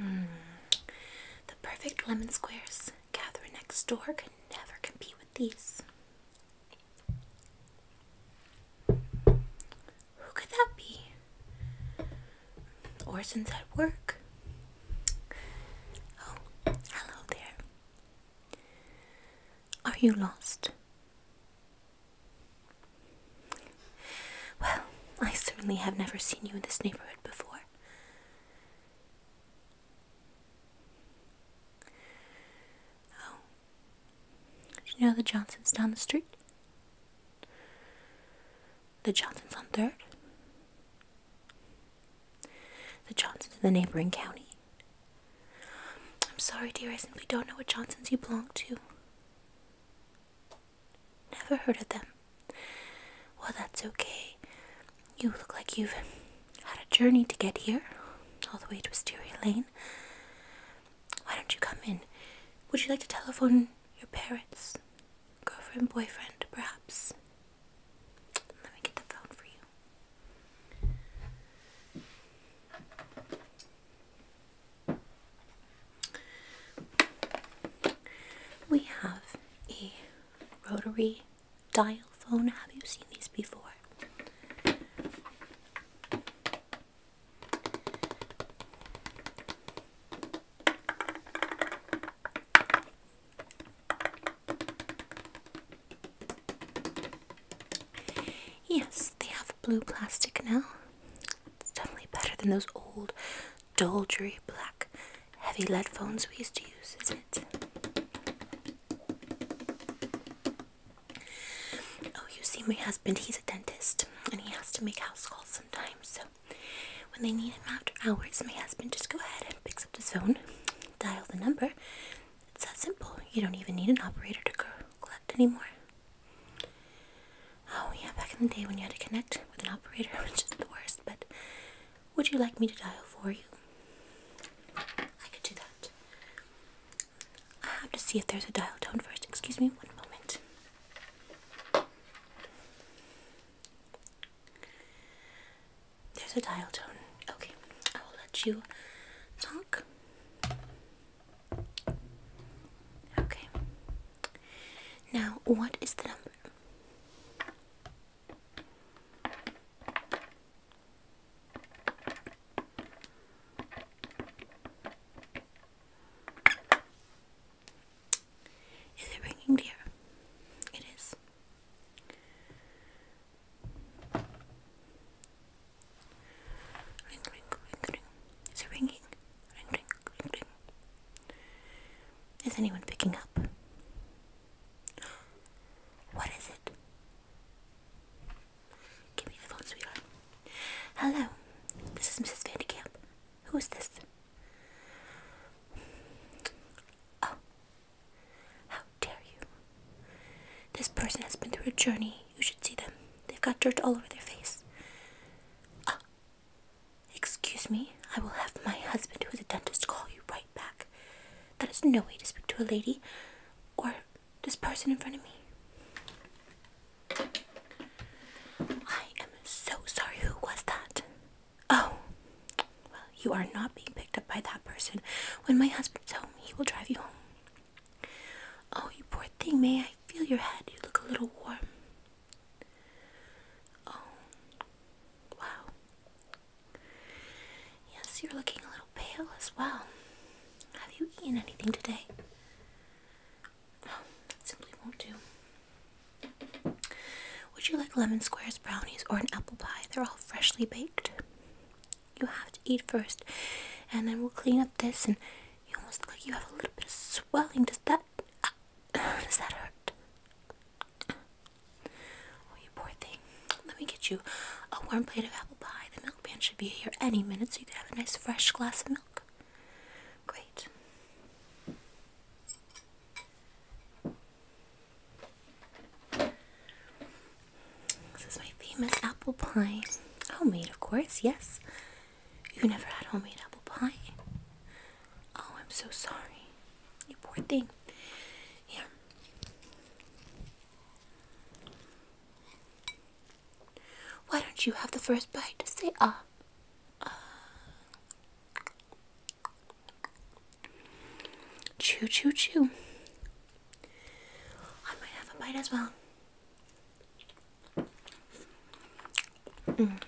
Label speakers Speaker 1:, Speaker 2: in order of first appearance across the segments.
Speaker 1: Mm. The perfect lemon squares. Catherine next door can never compete with these. Who could that be? Orson's at work. Oh, hello there. Are you lost? Well, I certainly have never seen you in this neighborhood before. Oh. Did you know the Johnsons down the street? The Johnsons on 3rd? The Johnsons in the neighboring county? I'm sorry, dear, I simply don't know what Johnsons you belong to. Never heard of them. Well, that's okay. You look like you've had a journey to get here, all the way to Wisteria Lane. Why don't you come in? Would you like to telephone your parents? Girlfriend, boyfriend, perhaps? Let me get the phone for you. We have a rotary dial phone. Have you seen these before? Yes, they have blue plastic now. It's definitely better than those old, dull, dreary black, heavy lead phones we used to use, isn't it? Oh, you see, my husband, he's a dentist and he has to make house calls sometimes. So, when they need him after hours, my husband just go ahead and picks up his phone, dials the number. It's that simple. You don't even need an operator to go anymore. Oh, yeah, back in the day when you had to connect with an operator, which is the worst, but would you like me to dial for you? I could do that. I have to see if there's a dial tone first. Excuse me one moment. There's a dial tone. Okay, I will let you talk. Okay. Now, what is the number? Is it ringing, dear? It is. Ring, ring, ring, ring. Is it ringing? Ring, ring, ring, ring. Is anyone picking up? What is it? Give me the phone, sweetheart. Hello, this is Mrs. Vandekamp. Who is this? Oh, how dare you! This person has been through a journey. You should see them. They've got dirt all over their face. Uh, excuse me, I will have my husband, who is a dentist, call you right back. That is no way to speak to a lady or this person in front of me. I am so sorry. Who was that? Oh, well, you are not being picked up by that person. When my husband's home, he will drive you home. Oh, you poor thing, May. I feel your head. You look a little warm. Oh, wow. Yes, you're looking a little pale as well. Have you eaten anything today? Oh, that simply won't do. Would you like lemon squares, brownies, or an apple pie? They're all freshly baked. You have to eat first, and then we'll clean up this. And you almost look like you have a little bit of well, Does that uh, does that hurt? Oh, you poor thing. Let me get you a warm plate of apple pie. The milk man should be here any minute, so you can have a nice fresh glass of milk. Great. This is my famous apple pie. Homemade, of course, yes. You never had homemade apple pie? Oh, I'm so sorry. You poor thing. Yeah. Why don't you have the first bite? Say ah. Uh, uh. Chew, chew, chew. I might have a bite as well. An mm.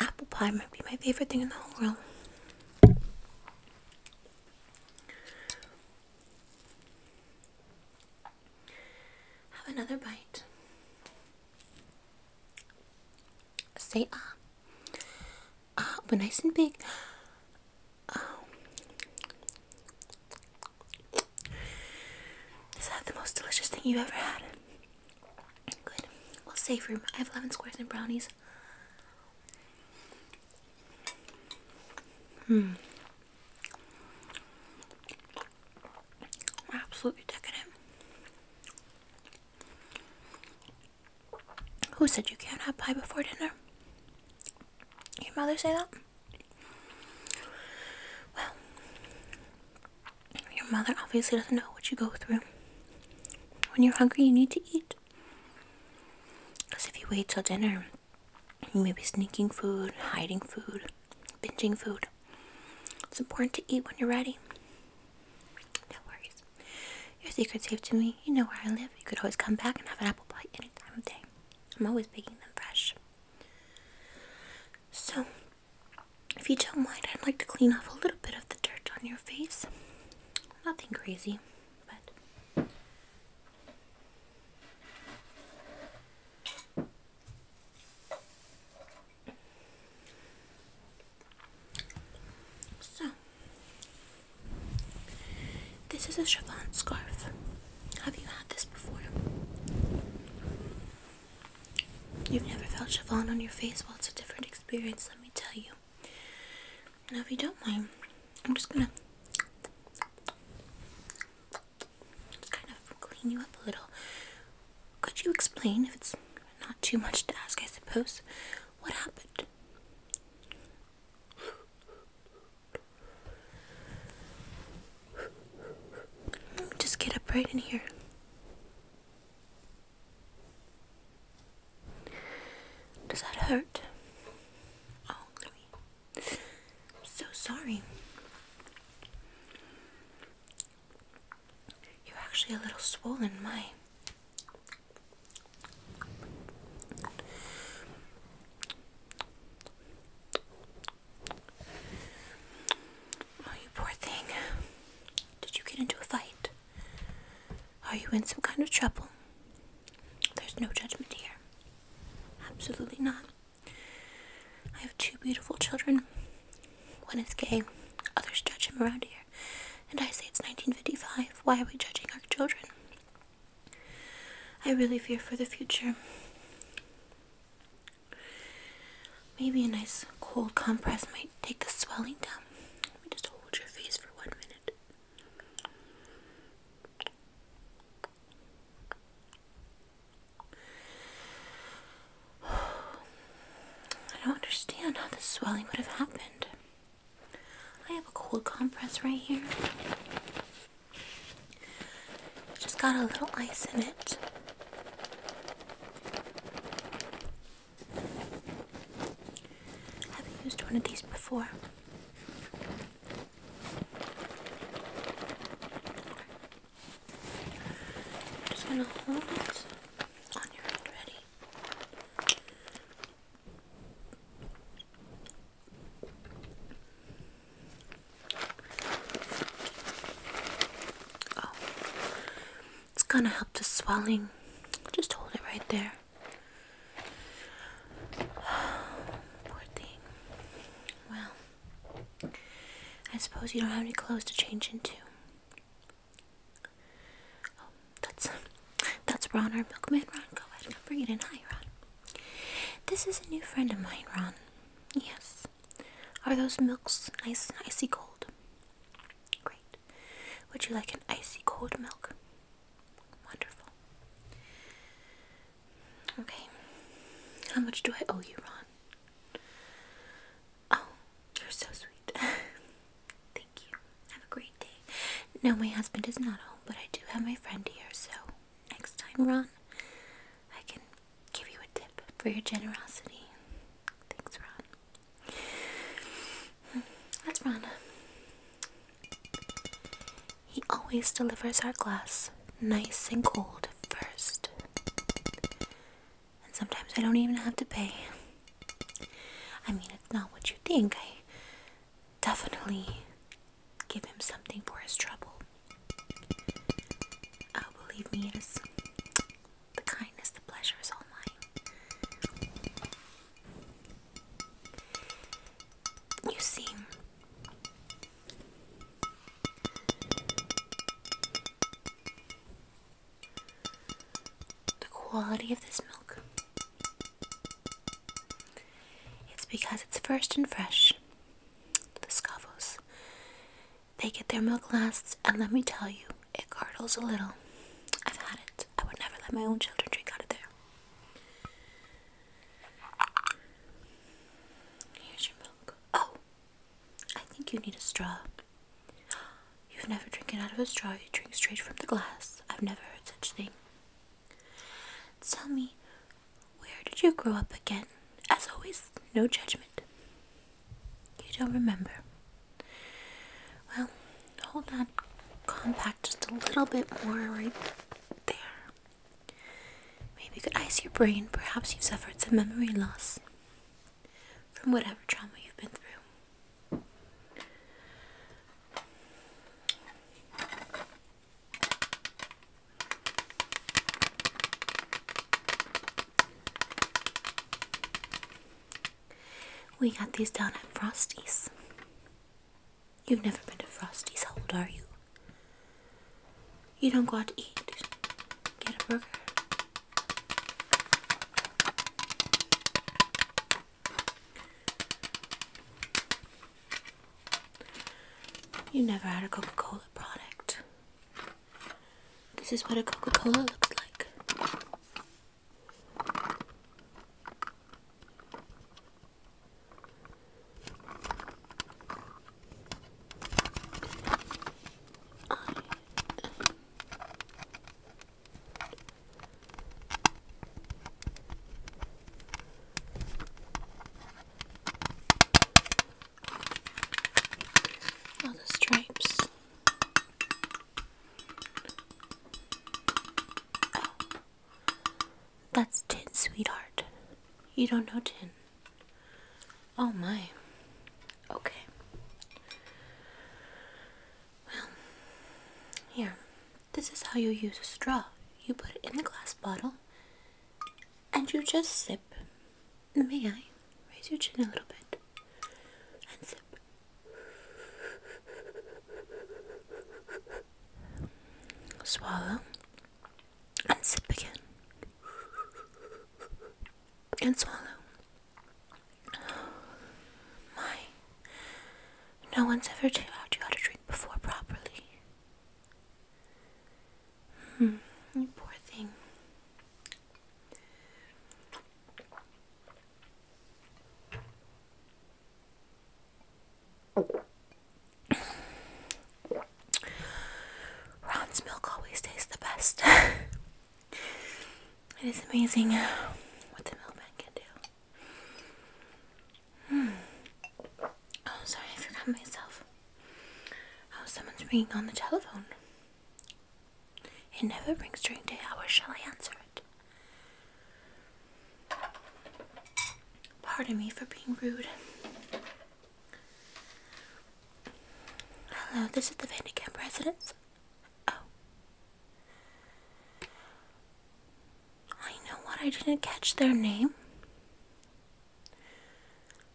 Speaker 1: Apple pie might be my favorite thing in the whole world. Have another bite. Say ah. Ah, but nice and big. Um, is that the most delicious thing you ever had? Good. Well, safe room. I have 11 squares and brownies. Hmm. Absolutely decadent. Who said you can't have pie before dinner? Your mother say that? Well, your mother obviously doesn't know what you go through. When you're hungry, you need to eat. Because if you wait till dinner, you may be sneaking food, hiding food, binging food. It's important to eat when you're ready. No worries. Your secret's safe to me. You know where I live. You could always come back and have an apple pie any time of day. I'm always baking them fresh. So, if you don't mind, I'd like to clean off a little bit of the dirt on your face. Nothing crazy, but. So, this is a chiffon scarf. Have you had this before? You've never felt chiffon on your face? Well, it's a different experience, let me tell you. Now, if you don't mind, I'm just gonna just kind of clean you up a little. Could you explain, if it's not too much to ask, I suppose, what happened? Just get up right in here. Does that hurt? Oh, I'm so sorry. You're actually a little swollen, my. Oh, you poor thing. Did you get into a fight? Are you in some kind of trouble? There's no judgment here. Absolutely not. I have two beautiful children. One is gay, others judge him around here. And I say it's 1955. Why are we judging our children? I really fear for the future. Maybe a nice cold compress might take the swelling down. Let me just hold your face for one minute. I don't understand how this swelling would have happened. I have a cold compress right here. Just got a little ice in it. I haven't used one of these before. just gonna hold it on your hand ready. Oh. it's gonna help the swelling. Just hold it right there. Poor thing. Well, I suppose you don't have any clothes to change into. Oh, that's that's Ron, our milkman. Ron, go ahead come bring it in. Hi, Ron. This is a new friend of mine, Ron. Yes. Are those milks nice and icy cold? Great. Would you like an icy cold milk? Wonderful. Okay. How much do I owe you, Ron? Oh, you're so sweet. Thank you. Have a great day. No, my husband is not home, but I do have my friend here, so next time, Ron, I can give you a tip for your generosity. Thanks, Ron. That's Ron. He always delivers our glass nice and cold first. And sometimes I don't even have to pay. I mean, it's not what you think. I definitely give him something for his trouble. Oh, believe me, it is the kindness, the pleasure is all mine. You see, the quality of this milk. It's because it's first and fresh the Scavos. They get their milk last, and let me tell you, it curdles a little. I've had it. I would never let my own children drink out of there. Here's your milk. Oh, I think you need a straw. You've never drinking out of a straw, you drink straight from the glass. I've never heard such thing. Tell me, where did you grow up again? As always, no judgment. You don't remember. Well, hold on. Compact just a little bit more right there. Maybe you could ice your brain. Perhaps you've suffered some memory loss from whatever trauma you've been through. We got these down at Frosty's. You've never been to Frosty's. How old are you? You don't go out to eat. Get a burger. You never had a Coca Cola product. This is what a Coca-Cola looks like all the stripes. Oh, that's tin, sweetheart. You don't know tin. Oh my. Okay. Well, here. This is how you use a straw. You put it in the glass bottle and you just sip. May I raise your chin a little bit and sip? Swallow and sip again and swallow. My, no one's ever taught you how to drink before properly. Hmm, you poor thing. Ron's milk always tastes the best. it is amazing what the milkman can do. Hmm. Oh, sorry, I forgot myself. Oh, someone's ringing on the telephone. It never rings during day hours. Shall I answer it? Pardon me for being rude. Hello, this is the Vandekamp residence. Oh. I know what, I didn't catch their name.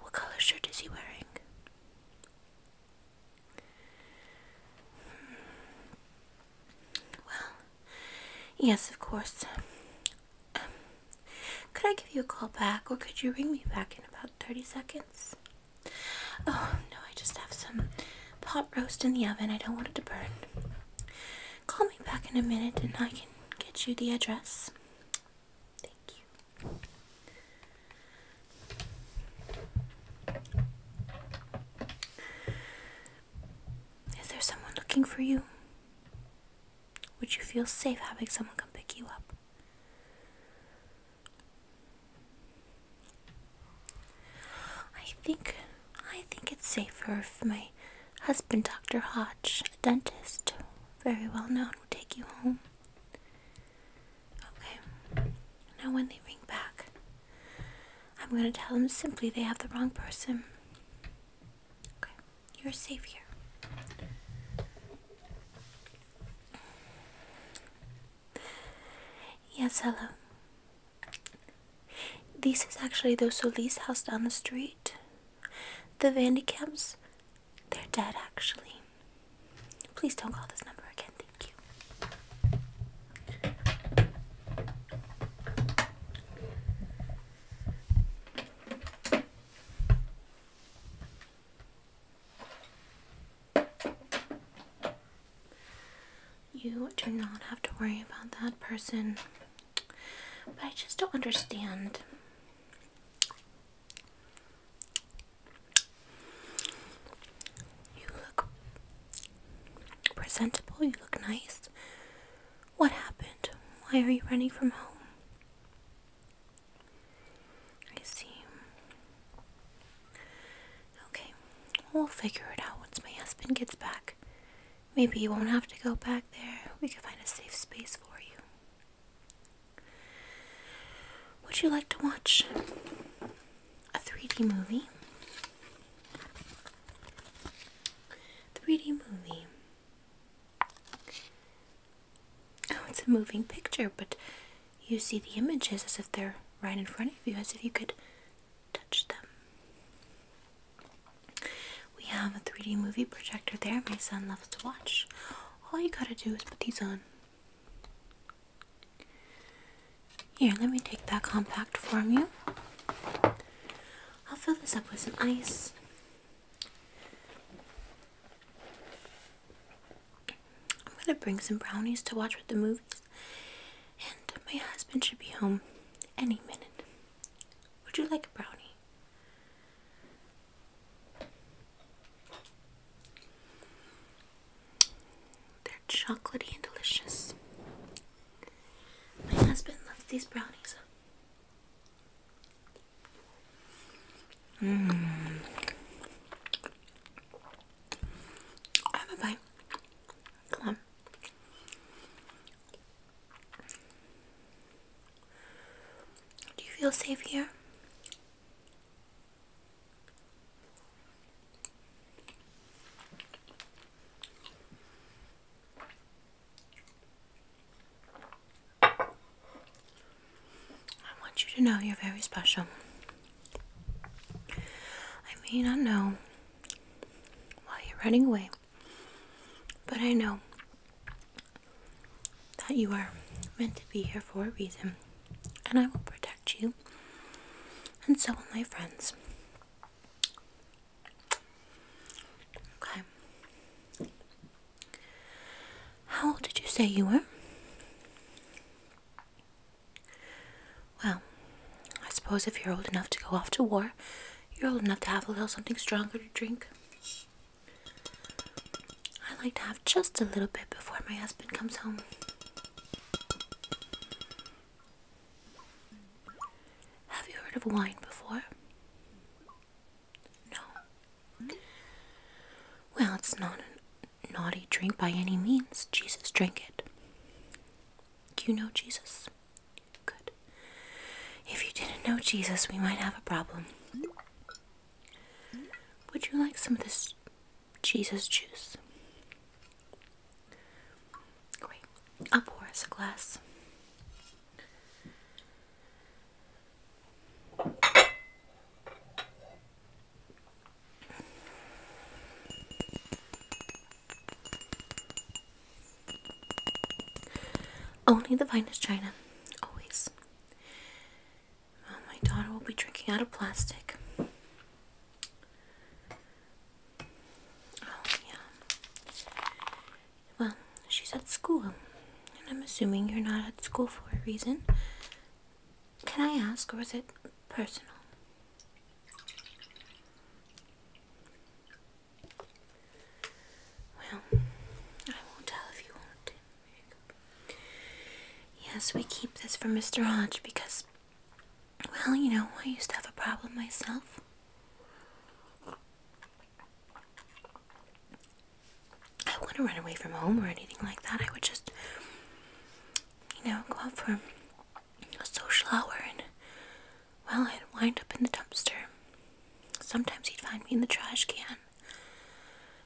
Speaker 1: What colour shirt is he wearing? Hmm. Well, yes, of course. Um, could I give you a call back or could you ring me back in about 30 seconds? Oh, no, I just have some pot roast in the oven. I don't want it to burn. Call me back in a minute and I can get you the address. Thank you. Is there someone looking for you? Would you feel safe having someone come pick you up? I think I think it's safer if my husband, Dr. Hodge, a dentist, very well known, would take you home. Okay, now when they ring back, I'm going to tell them simply they have the wrong person. Okay, you're safe here. Yes, hello. This is actually the Solis house down the street. The Vandekamps they're dead, actually. Please don't call this number again, thank you. You do not have to worry about that person, but I just don't understand. You look presentable, you look nice. What happened? Why are you running from home? I see. Okay, we'll figure it out once my husband gets back. Maybe you won't have to go back there. We can find a safe space for you. Would you like to watch a 3D movie? 3D movie. Oh, it's a moving picture, but you see the images as if they're right in front of you, as if you could touch them. We have a 3D movie projector there, my son loves to watch. All you gotta do is put these on. Here, let me take that compact for you. I'll fill this up with some ice. I'm gonna bring some brownies to watch with the movies, and my husband should be home any minute. Would you like a brownie? They're chocolatey and delicious. My husband loves these brownies. Mmm. I have a Come on. Do you feel safe here? I want you to know you're very special. I may not know why you're running away, but I know that you are meant to be here for a reason, and I will protect you, and so will my friends. Okay. How old did you say you were? Well, I suppose if you're old enough to go off to war, you're old enough to have a little something stronger to drink. I like to have just a little bit before my husband comes home. Have you heard of wine before? No. Well, it's not a naughty drink by any means. Jesus drank it. you know Jesus? Good. If you didn't know Jesus, we might have a problem. Would you like some of this Jesus juice? Great. I'll pour us a glass. Only the finest china, always. Well, oh, my daughter will be drinking out of plastic. Oh, yeah. Well, she's at school, and I'm assuming you're not at school for a reason. Can I ask, or is it personal? Well, I won't tell if you won't. Yes, we keep this for Mr. Hodge because, well, you know, I used to have a problem myself. I wouldn't run away from home or anything like that. I would just, you know, go out for a social hour and, well, I'd wind up in the dumpster. Sometimes he'd find me in the trash can.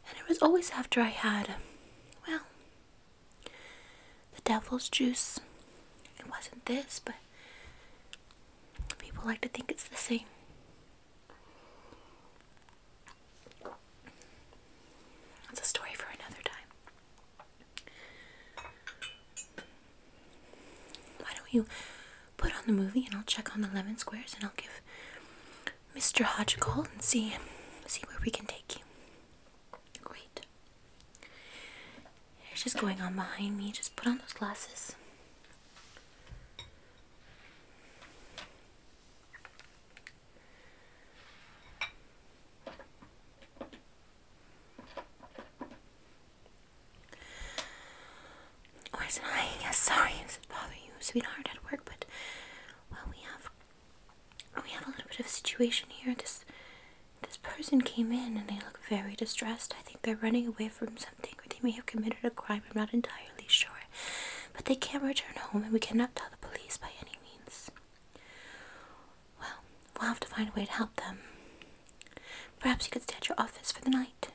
Speaker 1: And it was always after I had, well, the devil's juice. It wasn't this, but people like to think it's the same. That's a story for another time. Why don't you put on the movie and I'll check on the lemon squares and I'll give Mr. Hodge call and see see where we can take you. Great. It's just going on behind me. Just put on those glasses. Where's oh, Yes, sorry, it bothers you, sweetheart, at work, but well, we have we have a little bit of a situation here. This this person came in and they look very distressed. I think they're running away from something or they may have committed a crime. I'm not entirely sure. But they can't return home and we cannot tell the police by any means. Well, we'll have to find a way to help them. Perhaps you could stay at your office for the night.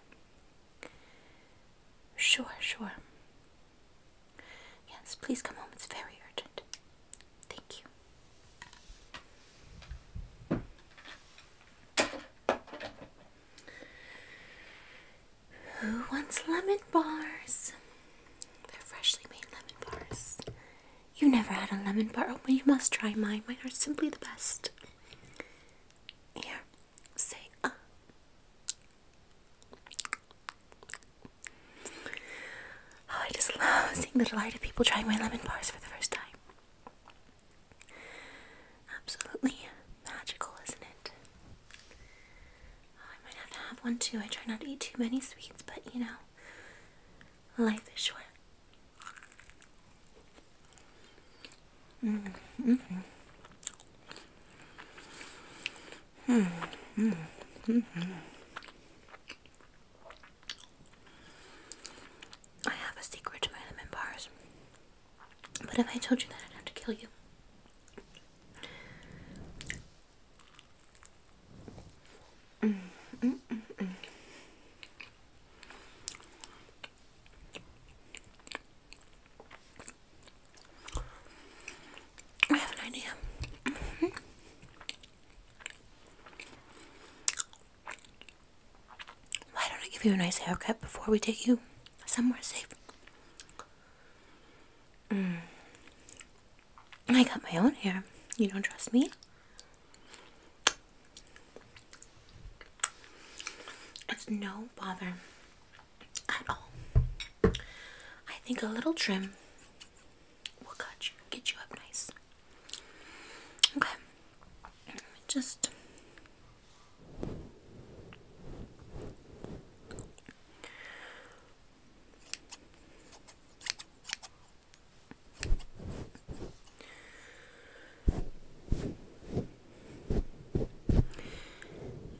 Speaker 1: Sure, sure. Yes, please come home. It's very urgent. Thank you. Who wants lemon bars? They're freshly made lemon bars. You never had a lemon bar. Oh, you must try mine. Mine are simply the best. Here, say ah, Oh, I just love seeing the delight of people trying my lemon bars for the first time. Absolutely magical, isn't it? Oh, I might have to have one too. I try not to eat too many sweets, but you know, life is short. Mm I have a secret to bars. But if I told you that, I'd have to kill you. I have an idea. Mm-hmm. Why don't I give you a nice haircut before we take you somewhere safe? Mm. I got my own hair. You don't trust me? It's no bother at all. I think a little trim will cut you, get you up nice. Okay, just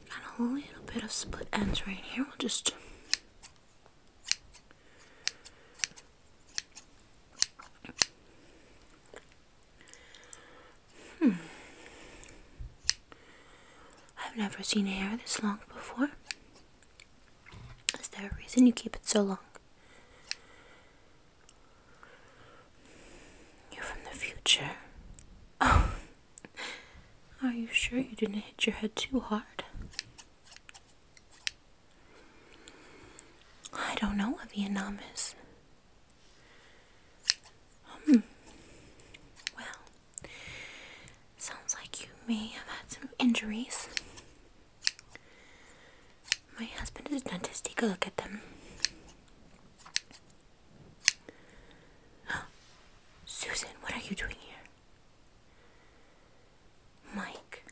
Speaker 1: Got a little bit of split ends right here. We'll just Hmm. I've never seen hair this long before. Is there a reason you keep it so long? You're from the future. Oh, are you sure you didn't hit your head too hard? I don't know what Vietnam is. Um, well, sounds like you may have had some injuries. My husband is a dentist. Take a look at them. Susan, what are you doing here? Mike.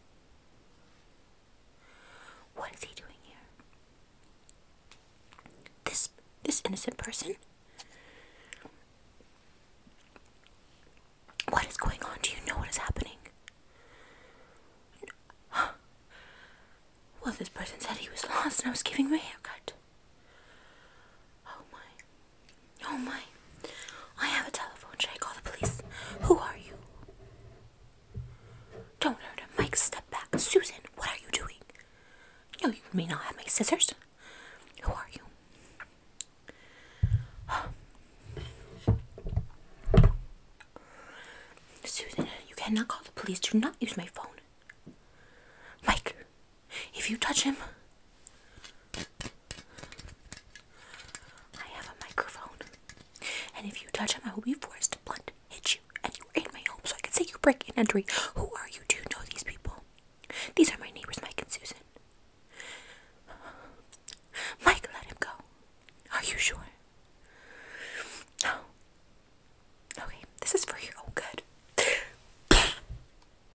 Speaker 1: What is he doing here? This this innocent person? What is going on? Do you know what is happening? Well, this person said he was lost and I was giving him a haircut. Oh my. Oh my. I have a telephone. Should I call the police? Who are you? Don't hurt him. Mike, step back. Susan, what are you doing? No, you may not have my scissors. Who are you? Susan, you cannot call the police. Do not use my phone. Mike, if you touch him, I have a microphone. And if you touch him, I will be forced to blunt hit you. And you are in my home, so I can say you break and entering. Who are you? to know these people? These are my neighbors, Mike and Susan. Mike, let him go. Are you sure? No. Okay, this is for your own good.